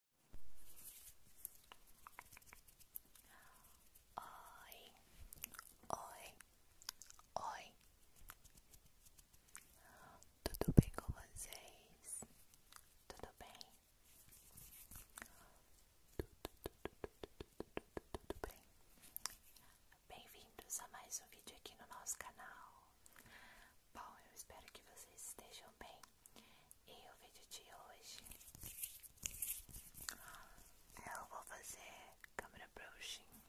Oi, oi, oi. Tudo bem com vocês? Tudo bem? Tudo bem? Bem-vindos a mais um vídeo aqui no nosso canal. Bom, eu espero que vocês estejam bem. E o vídeo de hoje eu vou fazer câmera brushing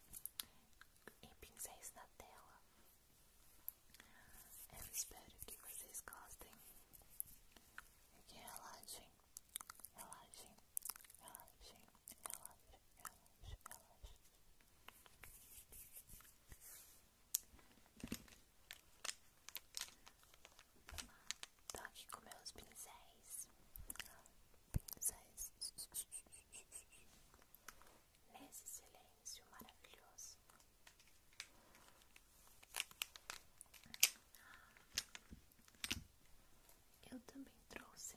e pincéis na tela. Eu espero que vocês gostem e que relaxem, relaxem, relaxem, relaxem, relaxem, relaxem. Tô aqui com meus pincéis. Pincéis. Nesse silêncio maravilhoso. Eu também trouxe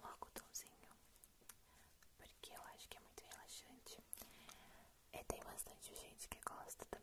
o algodãozinho porque eu acho que é muito relaxante. E é, tem bastante gente que gosta também.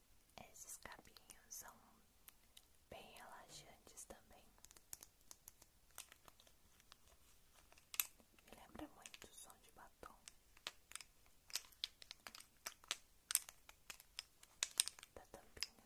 Esses cabinhos são bem relaxantes também. Me lembra muito o som de batom. Da tampinha.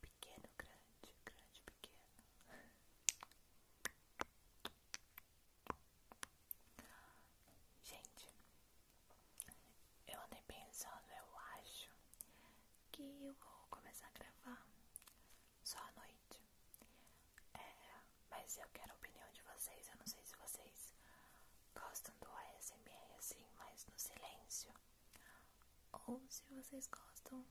Pequeno, grande, grande, pequeno. Gente, eu andei pensando, eu acho que eu vou começar a gravar só à noite. É, mas eu quero a opinião de vocês. Eu não sei se vocês gostam do ASMR assim, mas no silêncio. Ou se vocês gostam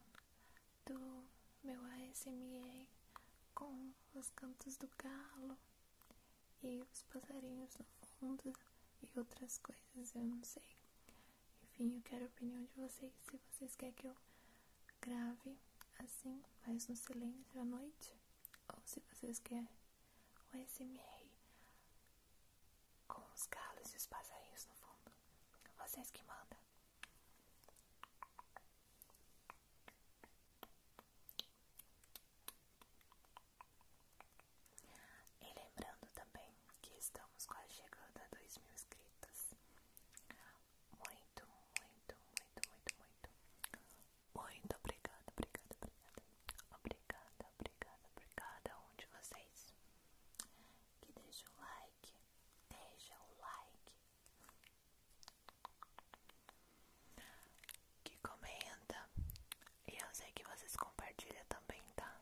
do meu ASMR com os cantos do galo e os passarinhos no fundo e outras coisas, eu não sei. Enfim, eu quero a opinião de vocês. Se vocês querem que eu grave assim, mais no silêncio à noite, ou se vocês querem o SMR com os galos e os passarinhos no fundo, vocês que mandam. E lembrando também que estamos quase chegando a 2 mil inscritos. Muito, muito, muito, muito, muito. Muito obrigada, obrigada, obrigada. Obrigada, obrigada por cada um de vocês. Que deixa o like, deixa o like. Que comenta. E eu sei que vocês compartilham também, tá?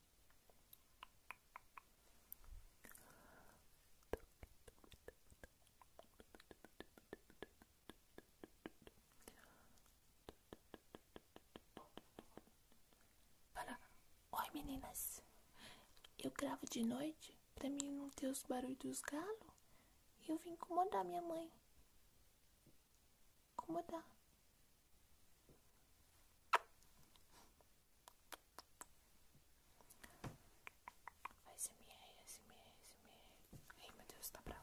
Fala, oi meninas, eu gravo de noite para mim não ter os barulhos dos galos e eu vim incomodar minha mãe como tá? SMR, SMR, SMR. Ai, meu Deus, tá bravo.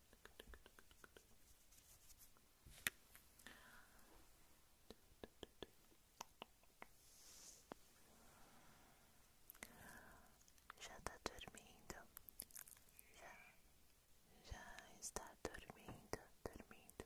Já está dormindo, já, está dormindo. Dormindo,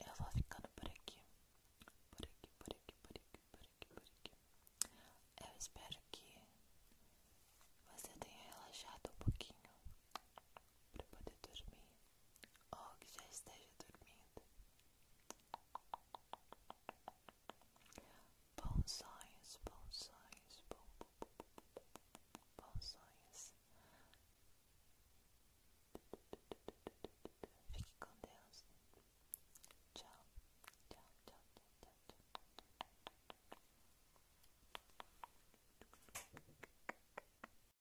Eu vou ficando por aqui, por aqui, por aqui, por aqui, por aqui, por aqui. Eu espero que você tenha relaxado um pouquinho para poder dormir ou que já esteja dormindo. Bons sonhos, bons sonhos, bom, bom, bom, bons sonhos. Fique com Deus. tchau, tchau, tchau, tchau. tchau.